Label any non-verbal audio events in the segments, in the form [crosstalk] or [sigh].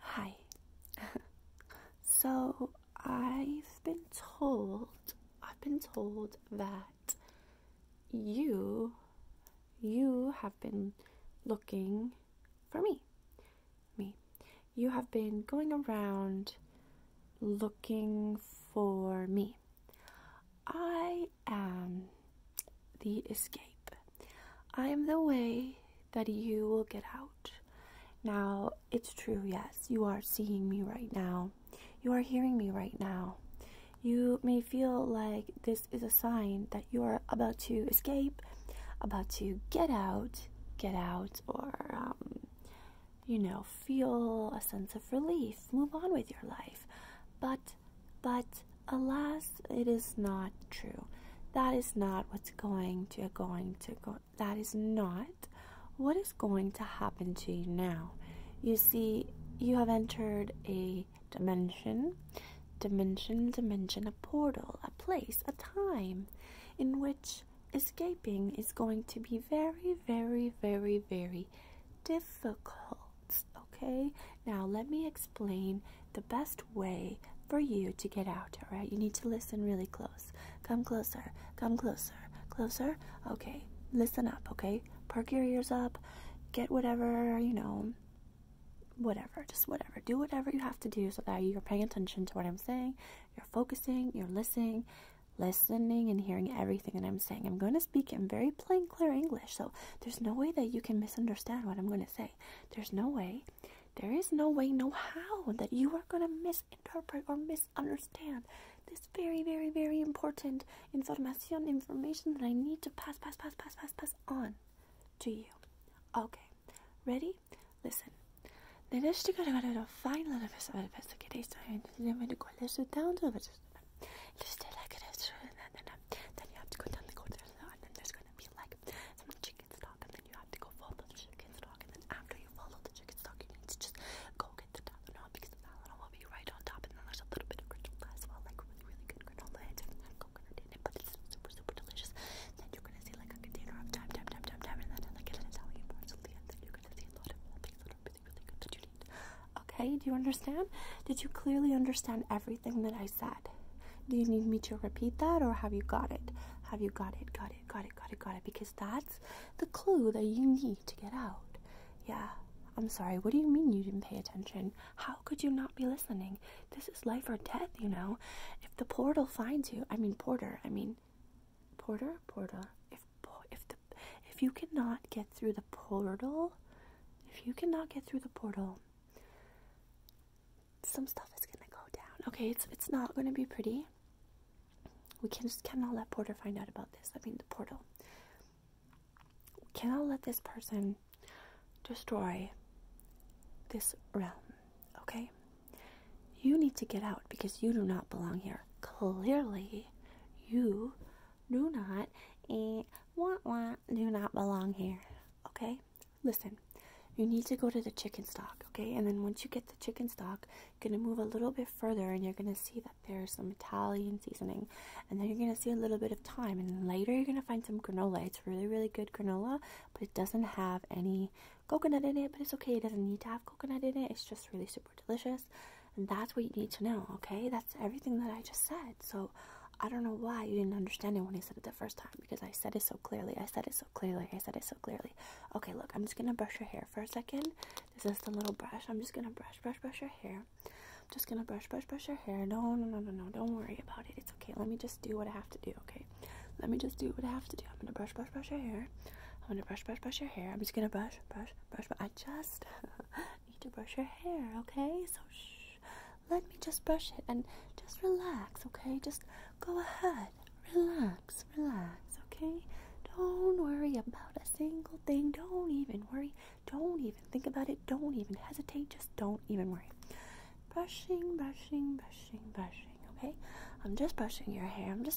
Hi. [laughs] so I've been told, I've been told that you, you have been looking for me. Me. You have been going around looking for me. I am the escape. I am the way that you will get out. Now, it's true, yes, you are seeing me right now. You are hearing me right now. You may feel like this is a sign that you are about to escape, about to get out, get out, or, um, you know, feel a sense of relief, move on with your life. But but alas, it is not true. That is not what's going to going to go. That is not what is going to happen to you now. You see, you have entered a dimension, dimension, dimension, a portal, a place, a time in which escaping is going to be very, very, very, very difficult. Okay, now let me explain the best way for you to get out. All right, you need to listen really close. Come closer, come closer, closer. Okay, listen up. Okay, perk your ears up, get whatever you know, whatever, just whatever, do whatever you have to do so that you're paying attention to what I'm saying, you're focusing, you're listening listening and hearing everything that I'm saying. I'm going to speak in very plain, clear English, so there's no way that you can misunderstand what I'm going to say. There's no way. There is no way, no how, that you are going to misinterpret or misunderstand this very, very, very important information, information that I need to pass, pass, pass, pass, pass, pass on to you. Okay, ready? Listen. نوشتی که رو فاین لنفس اول پس که دیست و این دیگه من گلش رو داون تو بچه you stay like it is, and then, um, then you have to go down the corridor, and then there's gonna be like some chicken stock, and then you have to go follow the chicken stock, and then after you follow the chicken stock, you need to just go get the Tylenol because the Tylenol will be right on top, and then there's a little bit of granola as well, like really, really good granola. It's not coconut in it, but it's super, super delicious. Then you're gonna see like a container of time, time, time, time, time, and then like it is Italian parsley, and then you're gonna see a lot of things that are Okay, do you understand? Did you clearly understand everything that I said? Do you need me to repeat that or have you got it? Have you got it? Got it, got it, got it, got it. Because that's the clue that you need to get out. Yeah. I'm sorry, what do you mean you didn't pay attention? How could you not be listening? This is life or death, you know. If the portal finds you, I mean, porter, I mean, porter, porter, if if the if you cannot get through the portal, if you cannot get through the portal, some stuff is gonna go down. Okay, it's it's not gonna be pretty. We can just cannot let Porter find out about this. I mean the portal. cannot let this person destroy this realm. Okay? You need to get out because you do not belong here. Clearly, you do not and wah wah do not belong here. Okay? Listen, you need to go to the chicken stock, okay? And then once you get the chicken stock, you're gonna move a little bit further and you're gonna see that there's some Italian seasoning. And then you're gonna see a little bit of thyme. And later you're gonna find some granola. It's really, really good granola, but it doesn't have any coconut in it, but it's okay, it doesn't need to have coconut in it, it's just really super super delicious. And that's what you need to know, okay? That's everything that I just said. So I don't know why you didn't understand it when I said it the first time because I said it so clearly. I said it so clearly. I said it so clearly. Okay, look, I'm just gonna brush your hair for a second. This is the little brush. I'm just gonna brush, brush, brush your hair. I'm just gonna brush, brush, brush your hair. No, no, no, no, no. Don't worry about it. It's okay. Let me just do what I have to do, okay? Let me just do what I have to do. I'm gonna brush, brush, brush your hair. I'm gonna brush, brush, brush your hair. I'm just gonna brush, brush, brush. brush just [laughs] need to brush your hair, okay? So shh, let me just brush it and just relax, okay? Just go ahead, relax, relax, okay? Don't worry about a single thing. Don't even worry. Don't even think about it. Don't even hesitate. Just don't even worry. Brushing, brushing, brushing, brushing, okay? I'm just brushing your hair. I'm just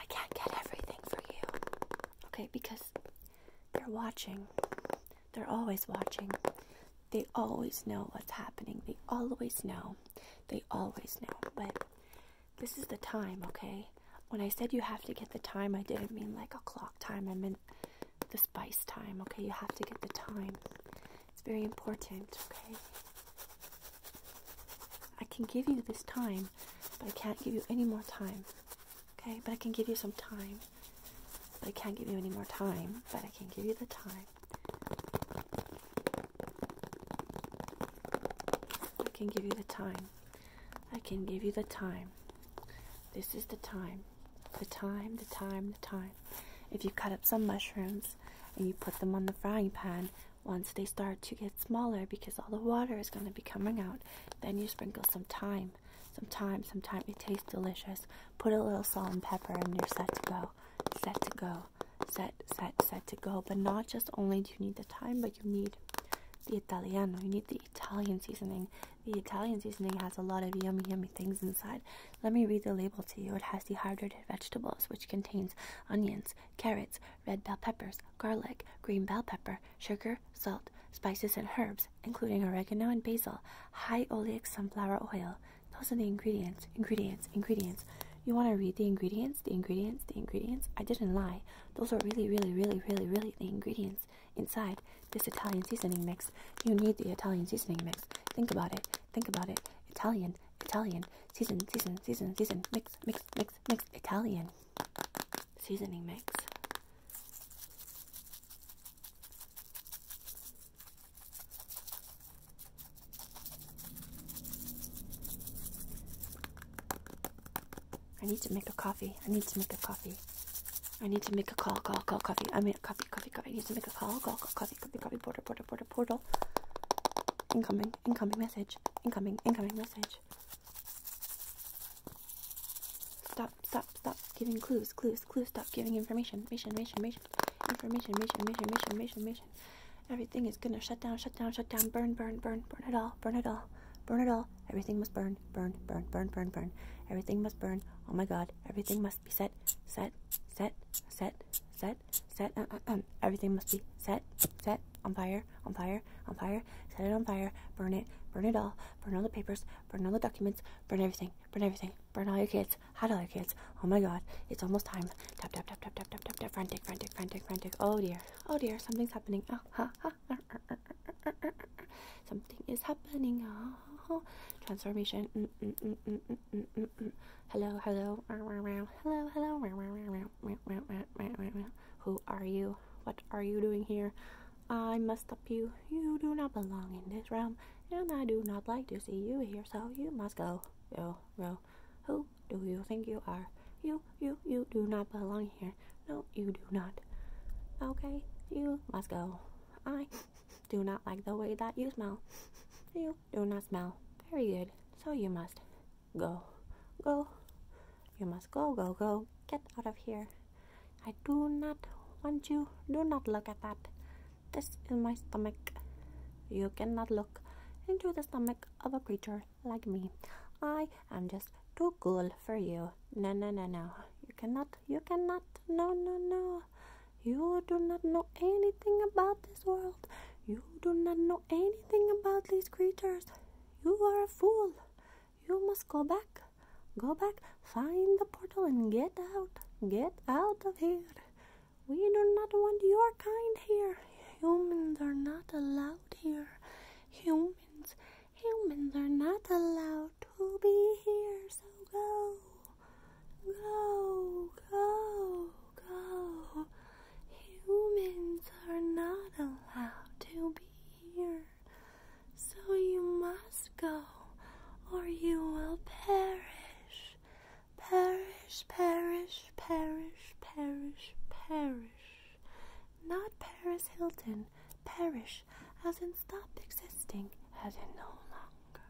I can't get everything for you. Okay, because they're watching. They're always watching. They always know what's happening. They always know. They always know. But this is the time, okay? When I said you have to get the time, I didn't mean like a clock time. I meant the spice time, okay? You have to get the time. It's very important, okay? I can give you this time, but I can't give you any more time. Okay, but I can give you some time. But I can't give you any more time, but I can give you the time. I can give you the time. I can give you the time. This is the time. The time, the time, the time. If you cut up some mushrooms and you put them on the frying pan, once they start to get smaller, because all the water is going to be coming out, then you sprinkle some thyme. Some thyme, some thyme. It tastes delicious. Put a little salt and pepper, and you're set to go. Set to go. Set, set, set to go. But not just only do you need the thyme, but you need the Italiano. You need the Italian seasoning. The Italian seasoning has a lot of yummy, yummy things inside. Let me read the label to you. It has dehydrated vegetables, which contains onions, carrots, red bell peppers, garlic, green bell pepper, sugar, salt, spices, and herbs, including oregano and basil, high oleic sunflower oil. Those are the ingredients, ingredients, ingredients. You want to read the ingredients, the ingredients, the ingredients? I didn't lie. Those are really, really, really, really, really the ingredients inside this Italian seasoning mix. You need the Italian seasoning mix. Think about it. Think about it. Italian, Italian. Season, season, season, season. Mix, mix, mix, mix. Italian. Seasoning mix. I need to make a coffee. I need to make a coffee. I need to make a call, call, call, coffee. I mean, coffee, coffee, coffee. I need to make a call, call, call, coffee, coffee, coffee, border, border portal, portal, portal. Incoming, incoming message, incoming, incoming message. Stop, stop, stop giving clues, clues, clues, stop giving information, information, information, information, information, information, information. Everything is gonna shut down, shut down, shut down, burn, burn, burn, burn it all, burn it all, burn it all. Everything must burn, burn, burn, burn, burn, burn. Everything must burn. Oh my god, everything must be set, set, set, set, set, set, uh, uh, um, everything must be set, set, on fire, on fire, on fire, set it on fire, burn it, burn it all, burn all the papers, burn all the documents, burn everything, burn everything, burn all your kids, hide all your kids, oh my god, it's almost time, tap, tap, tap, tap, tap, tap, tap, tap, frantic, frantic, frantic, frantic, oh dear, oh dear, something's happening, ah, something is happening, oh, transformation, mm, mm, mm, Hello, hello, hello, hello. Who are you? What are you doing here? I must stop you. You do not belong in this realm, and I do not like to see you here, so you must go. Yo, yo. Who do you think you are? You, you, you do not belong here. No, you do not. Okay, you must go. I do not like the way that you smell. You do not smell. Very good. So you must go, go. You must go, go, go. Get out of here. I do not want you. Do not look at that. This is my stomach. You cannot look into the stomach of a creature like me. I am just too cool for you. No, no, no, no. You cannot. You cannot. No, no, no. You do not know anything about this world. You do not know anything about these creatures. You are a fool. You must go back. Go back, find the portal and get out. Get out of here. We do not want your kind here. Humans are not allowed here. Humans, humans are not allowed to be here, so go. Go, go, go. Humans are not allowed to be here. So you must go, or you will perish. Perish, perish, perish, perish, perish. Not Paris Hilton, perish, as in stop existing, as in no longer.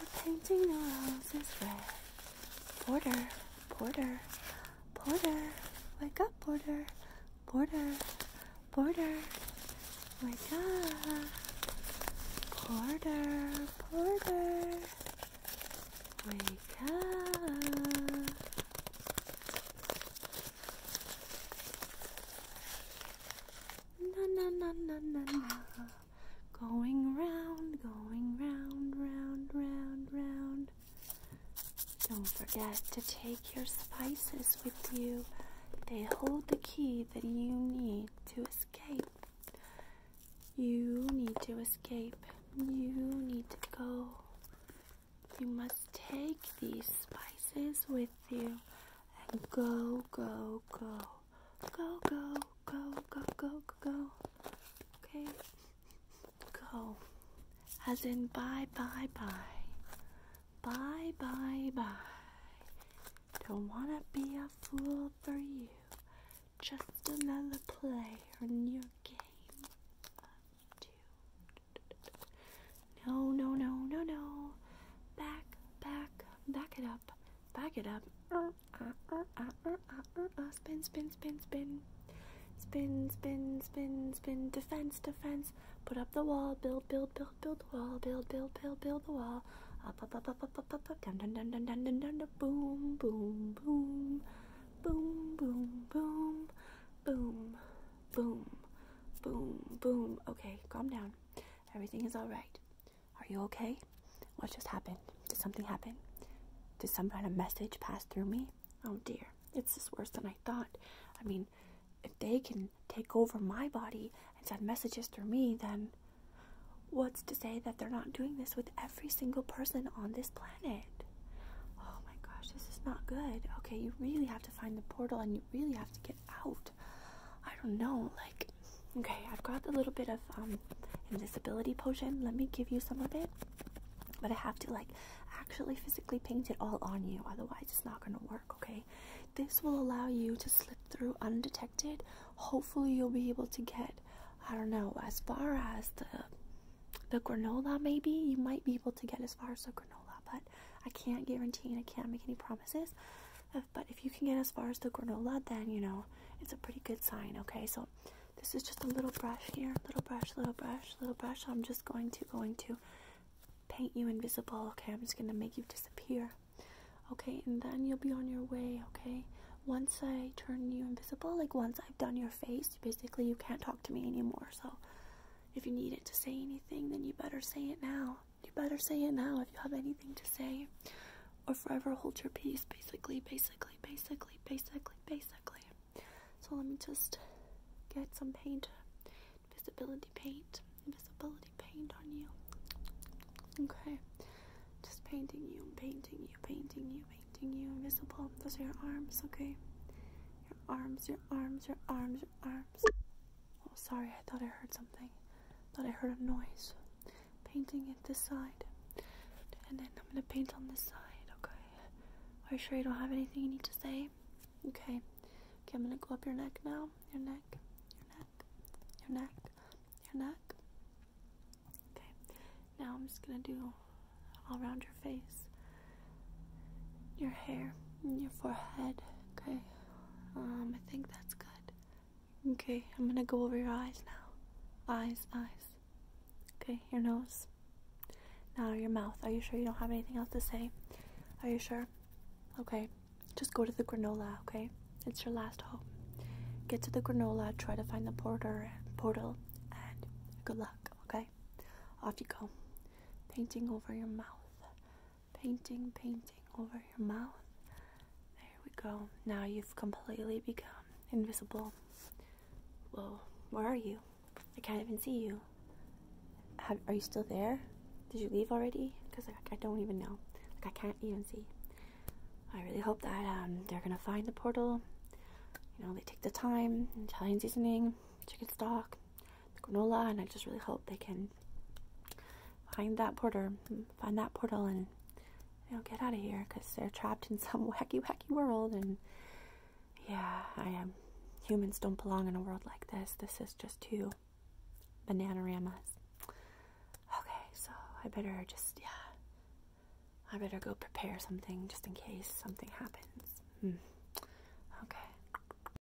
we painting the is red. Porter, Porter, Porter, wake up, Porter, Porter, Porter, wake up. Porter, Porter, wake up. na na na na na. Going round, going round, round, round, round. Don't forget to take your spices with you. They hold the key that you need to escape. You need to escape. You need to go. You must take these spices with you and go, go, go go, go, go, go, go, go, okay, go, as in bye, bye, bye, bye, bye, bye, don't wanna be a fool for you, just another player in your game of two, no, no, no, no, no, back, back, back it up. Back it up. Spin, spin, spin, spin. Spin, spin, spin, spin. Defense, defense. Put up the wall. Build, build, build, build the wall. Build, build, build, build the wall. Up, up, up, up, up, up, up, Down, down, down, down, down, down, down. Boom, boom, boom. Boom, boom, boom. Boom, boom, boom, boom. Okay, calm down. Everything is all right. Are you okay? What just happened? Did something happen? Did some kind of message pass through me? Oh dear, it's just worse than I thought. I mean, if they can take over my body and send messages through me, then what's to say that they're not doing this with every single person on this planet? Oh my gosh, this is not good. Okay, you really have to find the portal and you really have to get out. I don't know, like, okay, I've got a little bit of um, invisibility potion. Let me give you some of it. But I have to, like, actually physically paint it all on you, otherwise, it's not gonna work, okay? This will allow you to slip through undetected. Hopefully, you'll be able to get, I don't know, as far as the the granola maybe you might be able to get as far as the granola but i can't guarantee and i can't make any promises uh, but if you can get as far as the granola, then you know it's a pretty good sign. Okay, so this is just a little brush here, little brush, little brush, little brush. I'm just going to going to paint you invisible. Okay, I'm just gonna make you disappear. Okay, and then you'll be on your way. Okay, once I turn you invisible, like once I've done your face, basically you can't talk to me anymore. So if you need it to say anything, then you better say it now you better say it now if you have anything to say, or forever hold your peace. Basically, basically, basically, basically, basically. So let me just get some paint, invisibility paint, invisibility paint on you. Okay, just painting you, painting you, painting you, painting you invisible. Those are your arms, okay? Your arms, your arms, your arms, your arms. Oh, sorry, I thought I heard something. Thought I heard a noise. Painting it this side. And then I'm gonna paint on this side, okay? Are you sure you don't have anything you need to say? Okay. Okay, I'm gonna go up your neck now. Your neck, your neck, your neck, your neck. Okay. Now I'm just gonna do all around your face, your hair, your forehead, okay? Um, I think that's good. Okay, I'm gonna go over your eyes now. Eyes, eyes. Okay, your nose. Now your mouth. Are you sure you don't have anything else to say? Are you sure? Okay, just go to the granola, okay? It's your last hope. Get to the granola, try to find the porter portal, and good luck, okay? Off you go. Painting over your mouth painting, painting over your mouth. There we go. Now you've completely become invisible. Whoa, where are you? I can't even see you. are you still there? Did you leave already? Because I, don't even know. Like, I can't even see. I really hope that um, they're gonna find the portal. You know, they take the time, Italian seasoning, chicken stock, granola, and I just really hope they can find that portal, find that portal, and you know get out of here because they're trapped in [laughs] some wacky, wacky world. And yeah, I am. Humans don't belong in a world like this. This is just too bananarama. Okay, so I better just yeah. I better go prepare something just in case something happens. Hmm. Okay.